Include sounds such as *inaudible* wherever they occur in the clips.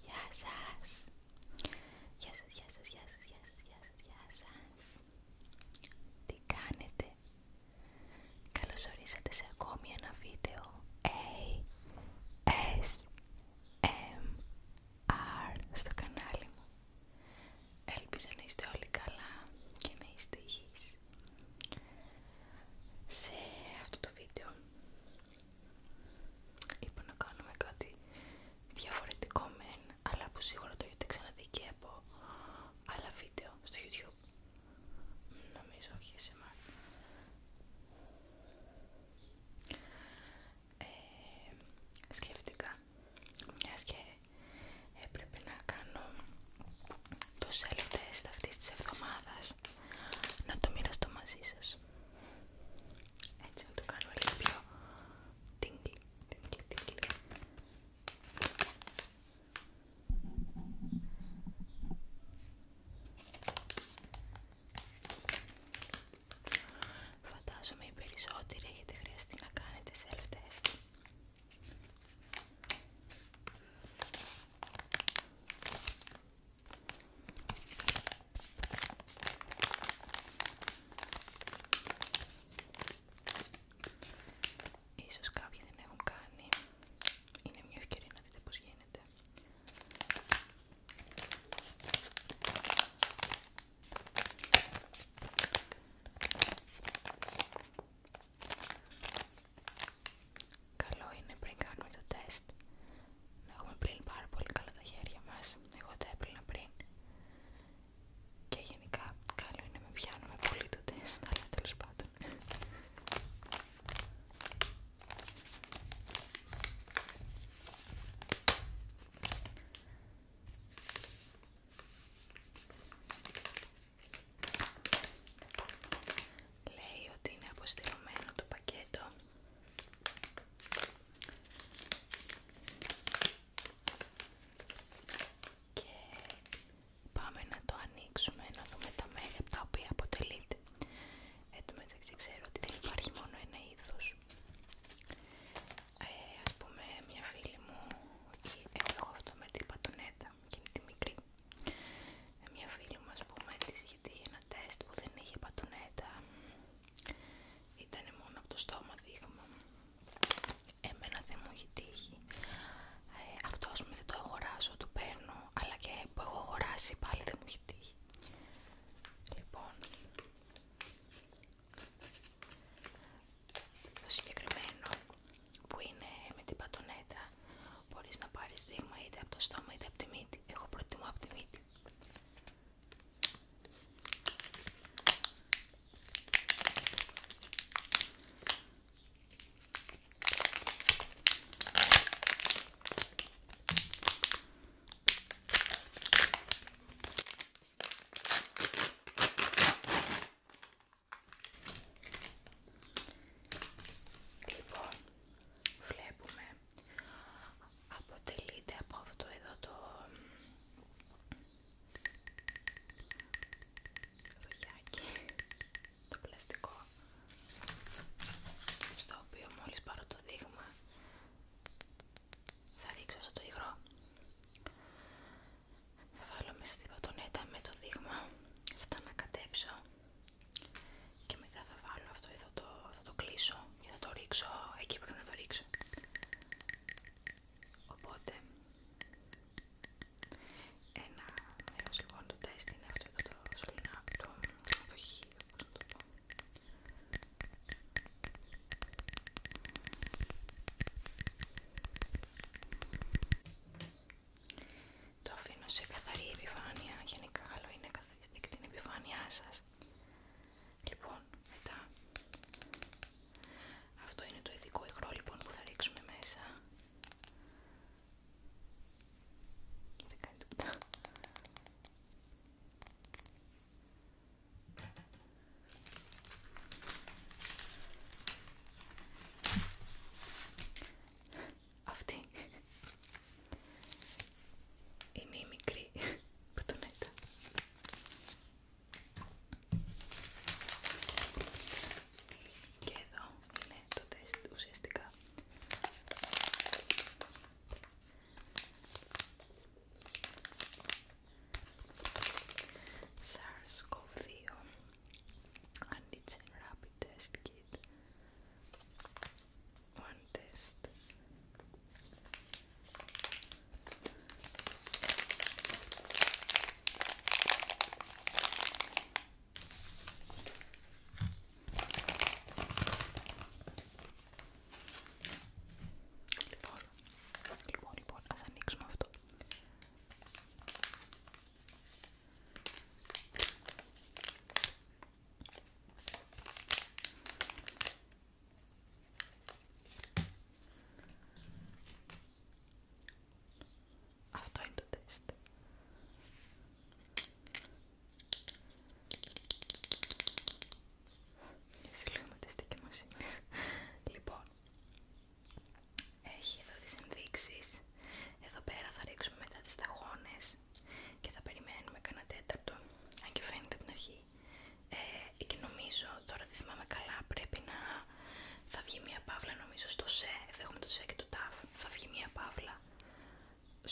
Γεια σας. Γεια σας, γεια σας, γεια σας, γεια σας, γεια σας, Τι κάνετε. Καλώς ορίσατε σε ακόμη ένα βίντεο ASMR στο κανάλι μου. Ελπίζω να είστε όλοι καλά και να είστε υγιείς. Σε αυτό το βίντεο είπα να κάνουμε κάτι διαφορετικό μεν, αλλά που σίγουρα το έχετε ξαναδεί και από άλλα βίντεο στο YouTube. Νομίζω όχι σήμερα. μα σκέφτηκα μιας και έπρεπε να κάνω το self test αυτής της εβδομάδας να το μοιραστώ μαζί σας έτσι να το κάνω λίγο πιο τίγκλι, τίγκλι, τίγκλι Φαντάζομαι οι περισσότεροι έχετε χρειαστεί να κάνετε self-test Ίσως κάποιοι δεν έχουν κάνει. Είναι μια ευκαιρία να δείτε πώς γίνεται. Καλό είναι πριν κάνουμε το τεστ να έχουμε πριν πάρα πολύ καλά τα χέρια μας. Εγώ τα έπλυνα πριν. Και γενικά καλό είναι να με πιάνουμε πολύ το τεστ, αλλά τέλος πάντων. Λέει ότι είναι αποστηρωμένο το πακέτο. Και πάμε να το ανοίξουμε, να δούμε τα μέρη από τα οποία αποτελείται. Εν τω μεταξύ ξέρω ότι δεν υπάρχει μόνο ένα είδος. Α ε, ας πούμε μια φίλη μου ή εγώ έχω αυτό με την πατονέτα είναι τη μικρή ε, μια φίλη μου ας πούμε της είχε τύχει ένα τεστ που δεν είχε πατονέτα ήταν μόνο από το στόμα δείγμα εμένα δεν μου έχει τύχει ε, αυτό ας πούμε δεν το αγοράζω, το παίρνω αλλά και που έχω αγοράσει πάλι δεν μου έχει τύχει Λοιπόν, το συγκεκριμένο που είναι με την πατονέτα μπορείς να πάρεις δείγμα είτε από το στόμα είτε από τη μύτη. έχω προτιμώ από τη μύτη. Λοιπόν, βλέπουμε αποτελείται από αυτό εδώ το δοχιάκι, το πλαστικό στο οποίο μόλις πάρω το δείγμα θα ρίξω αυτό το υγρό θα βάλω μέσα την πατονέτα με το δείγμα θα να κατέψω και μετά θα βάλω αυτό εδώ το, θα το κλείσω και θα το ρίξω εκεί πρέπει να το ρίξω οπότε ένα μέρος λοιπόν του τεστ είναι αυτό το σωληνά το, το το αφήνω σε καθαρή επιφάνεια, γενικά καλό είναι καθαριστεί και την επιφάνειά σας. Λοιπόν, μετά, αυτό είναι το ειδικό υγρό λοιπόν που θα ρίξουμε μέσα. Δεν αυτή είναι η μικρή πατονέτα. Και εδώ είναι το τεστ ουσιαστικά. SARS-CoV-2 antigen rapid test kit one test Λοιπόν, λοιπόν, λοιπόν, ας ανοίξουμε αυτό. Αυτό είναι το τεστ. Εσύ μαζί λοιπόν, έχει εδώ τις ενδείξεις. Εδώ πέρα θα ρίξουμε μετά τις ταχώνες και θα περιμένουμε κανένα τέταρτο. Αν και φαίνεται από την αρχή. Ε, και νομίζω, τώρα δεν θυμάμαι καλά, πρέπει να θα βγει μια παύλα νομίζω στο σε. Εδώ έχουμε το σε και το ταφ. Θα βγει μια παύλα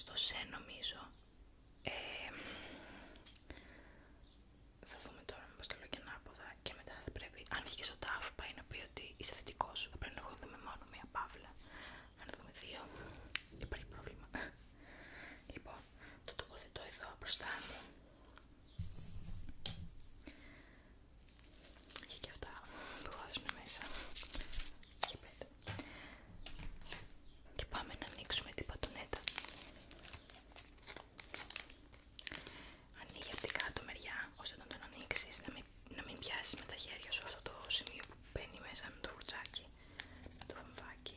στο σε νομίζω ε, θα δούμε τώρα μήπως το λέω και ανάποδα και μετά θα πρέπει, αν βγει στο τάφ πάει να πει ότι είσαι θετικός, θα πρέπει να δούμε μόνο μία παύλα. Αν δούμε δύο, υπάρχει πρόβλημα. Λοιπόν, το τοποθετώ εδώ μπροστά μου. Έχει και αυτά που βάζουν μέσα. Και πέντε. Και πάμε να ανοίξουμε την πατονέτα. Ανοίγει από την κάτω μεριά, ώστε να τον ανοίξει, να μην, να πιάσει με τα χέρια σου αυτό το σημείο που μπαίνει μέσα με το φουρτσάκι, με το βαμβάκι.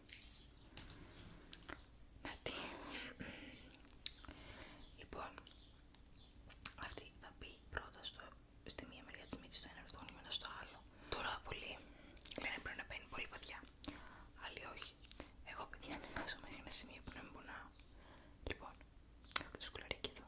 Να τι. Λοιπόν, αυτή θα πει πρώτα στο, στη μία μεριά τη μύτη στο ένα ορθόνι, μετά στο άλλο. Τώρα πολύ λένε πρέπει να παίρνει πολύ βαθιά. Άλλοι όχι. Εγώ παιδιά ανεβάζω μέχρι ένα σημείο που να μην πονάω. Λοιπόν, το σκουλαρίκι εδώ.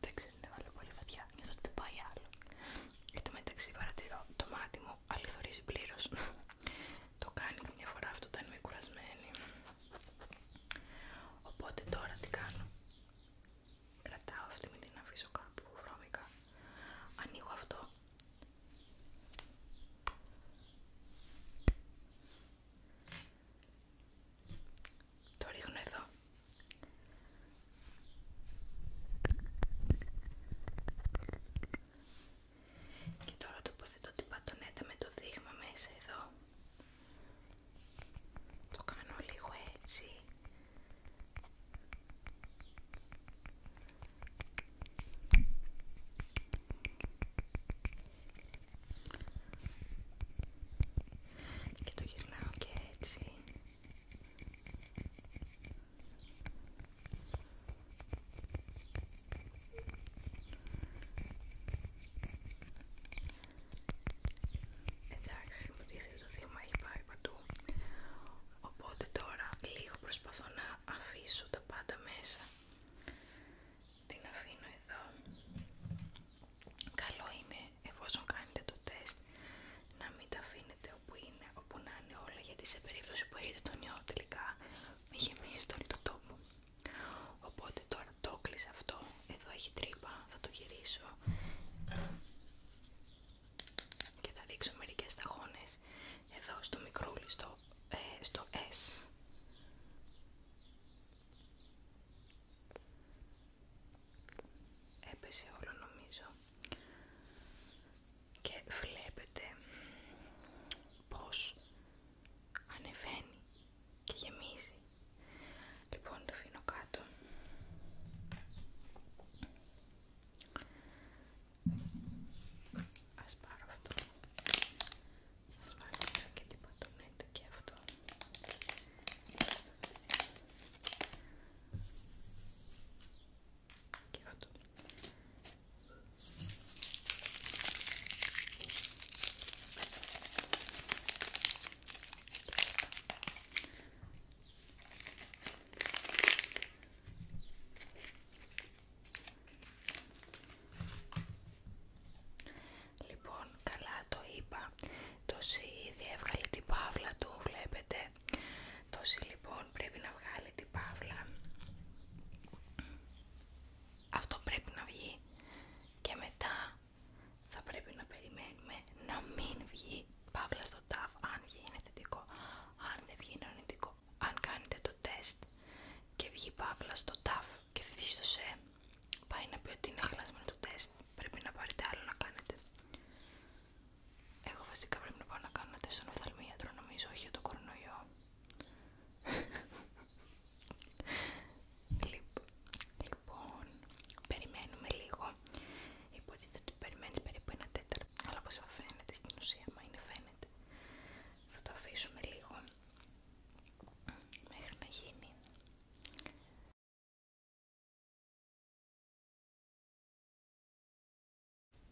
Δεν ξέρω, να βάλω πολύ βαθιά, νιώθω ότι δεν πάει άλλο. Εν μεταξύ παρατηρώ, το μάτι μου αληθωρίζει πλήρω. το κάνει καμιά φορά αυτό όταν είμαι κουρασμένη. Οπότε τώρα τι κάνω. Κρατάω αυτή, με την αφήσω κάπου βρώμικα. Ανοίγω αυτό το ρίχνω εδώ. Και τώρα τοποθετώ την πατονέτα με το δείγμα μέσα εδώ. Το κάνω λίγο έτσι και το γυρνάω και έτσι Εντάξει, μου το δείγμα έχει πάει παντού Οπότε τώρα λίγο προσπαθώ να αφήσω τα πάντα μέσα την αφήνω εδώ. Καλό είναι εφόσον κάνετε το τεστ να μην τα αφήνετε όπου είναι, όπου να είναι όλα γιατί σε περίπτωση που έχετε τον ιό τελικά μη γεμίζετε όλο το τόπο. Οπότε τώρα το κλείσα αυτό, εδώ έχει τρύπα, θα το γυρίσω και θα ρίξω μερικές ταχώνες εδώ στο μικρούλι, ε, στο, S. Έπεσε όλο νομίζω και βλέπετε πως ανεβαίνει και γεμίζει. Λοιπόν, το αφήνω κάτω. Ας πάρω αυτό. Σας βάλω και την πατονέτη και αυτό. Και αυτό. Λοιπόν, καλά το είπα. Το σι ήδη έβγαλε την παύλα του, βλέπετε. Το συ λοιπόν πρέπει να βγάλει την παύλα. Αυτό πρέπει να βγει. Και μετά θα πρέπει να περιμένουμε να μην βγει παύλα στο τάφ. Αν βγει είναι θετικό, αν δεν βγει είναι αν κάνετε το τεστ και βγει παύλα στο TAF και δεν βγει στο ΣΕ, πάει να πει ότι είναι χαλασμένο το τεστ. Πρέπει να πάρετε άλλο να κάνετε. Εγώ βασικά πρέπει να πάω να κάνω τεστ στον οφθαλμίατρο, νομίζω, όχι για το κορονοϊό. *laughs* Λοιπόν, λοιπόν, περιμένουμε λίγο Υπότιτλοι ότι περιμένει περίπου ένα τέταρτο. Αλλά όπω φαίνεται στην ουσία, μα είναι φαίνεται. Θα το αφήσουμε λίγο μέχρι να γίνει.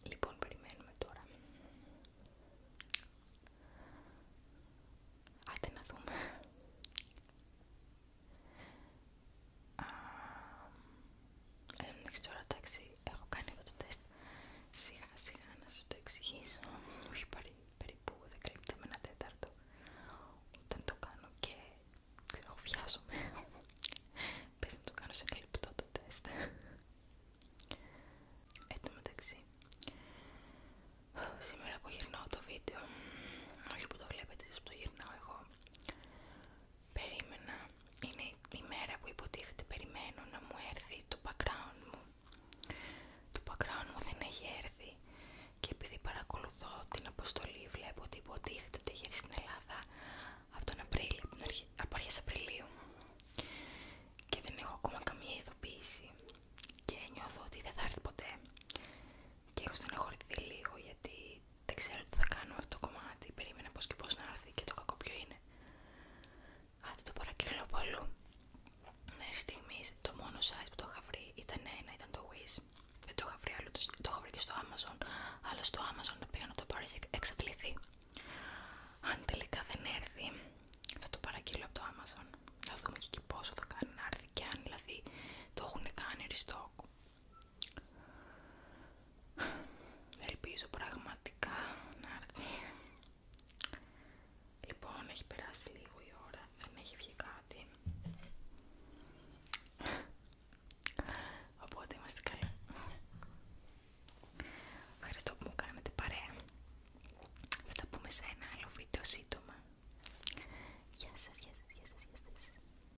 Λοιπόν, περιμένουμε τώρα. Άντε να δούμε. Ε, αλλά μην εντάξει έχω κάνει εγώ το τεστ σιγά σιγά να σας το εξηγήσω μου έχει περίπου 10 λεπτά με ένα τέταρτο όταν το κάνω και ξέρω βιάζομαι πες να το κάνω σε κλειπτό το τεστ Εν σήμερα που γυρνάω το βίντεο όχι που το βλέπετε εσείς που το γυρνάω εγώ περίμενα, είναι η μέρα που υποτίθεται περιμένω να μου έρθει το background μου. Το background μου δεν έχει έρθει και επειδή παρακολουθώ την αποστολή βλέπω ότι υποτίθεται ότι έχει έρθει στην Ελλάδα από τον Απρίλιο, από αρχές Απριλίου και δεν έχω ακόμα καμία ειδοποίηση και νιώθω ότι δεν θα έρθει ποτέ και έχω στεναχωρηθεί λίγο γιατί δεν ξέρω τι θα κάνω αυτό το κομμάτι. Περίμενα πώ και πώ να έρθει και το κακό ποιο είναι. Άντε το παρακείλω πολύ. Μέχρι στιγμή το μόνο size που το είχα βρει ήταν ένα, ήταν το Wiz. Δεν το είχα βρει άλλο, το είχα βρει και στο Amazon. Αλλά στο Amazon το πήγα να το πάρω, είχε εξαντληθεί. Αν τελικά δεν έρθει, θα το παραγγείλω από το Amazon. Θα δούμε και εκεί πόσο θα κάνει να έρθει και αν δηλαδή το έχουν κάνει restock. Ελπίζω πραγματικά να έρθει. Λοιπόν, έχει περάσει λίγο η ώρα, δεν έχει βγει κάτι. Οπότε είμαστε καλά. Ευχαριστώ που μου κάνετε παρέα. Θα τα πούμε σε ένα άλλο βίντεο σύντομα. Γεια σα, γεια γεια γεια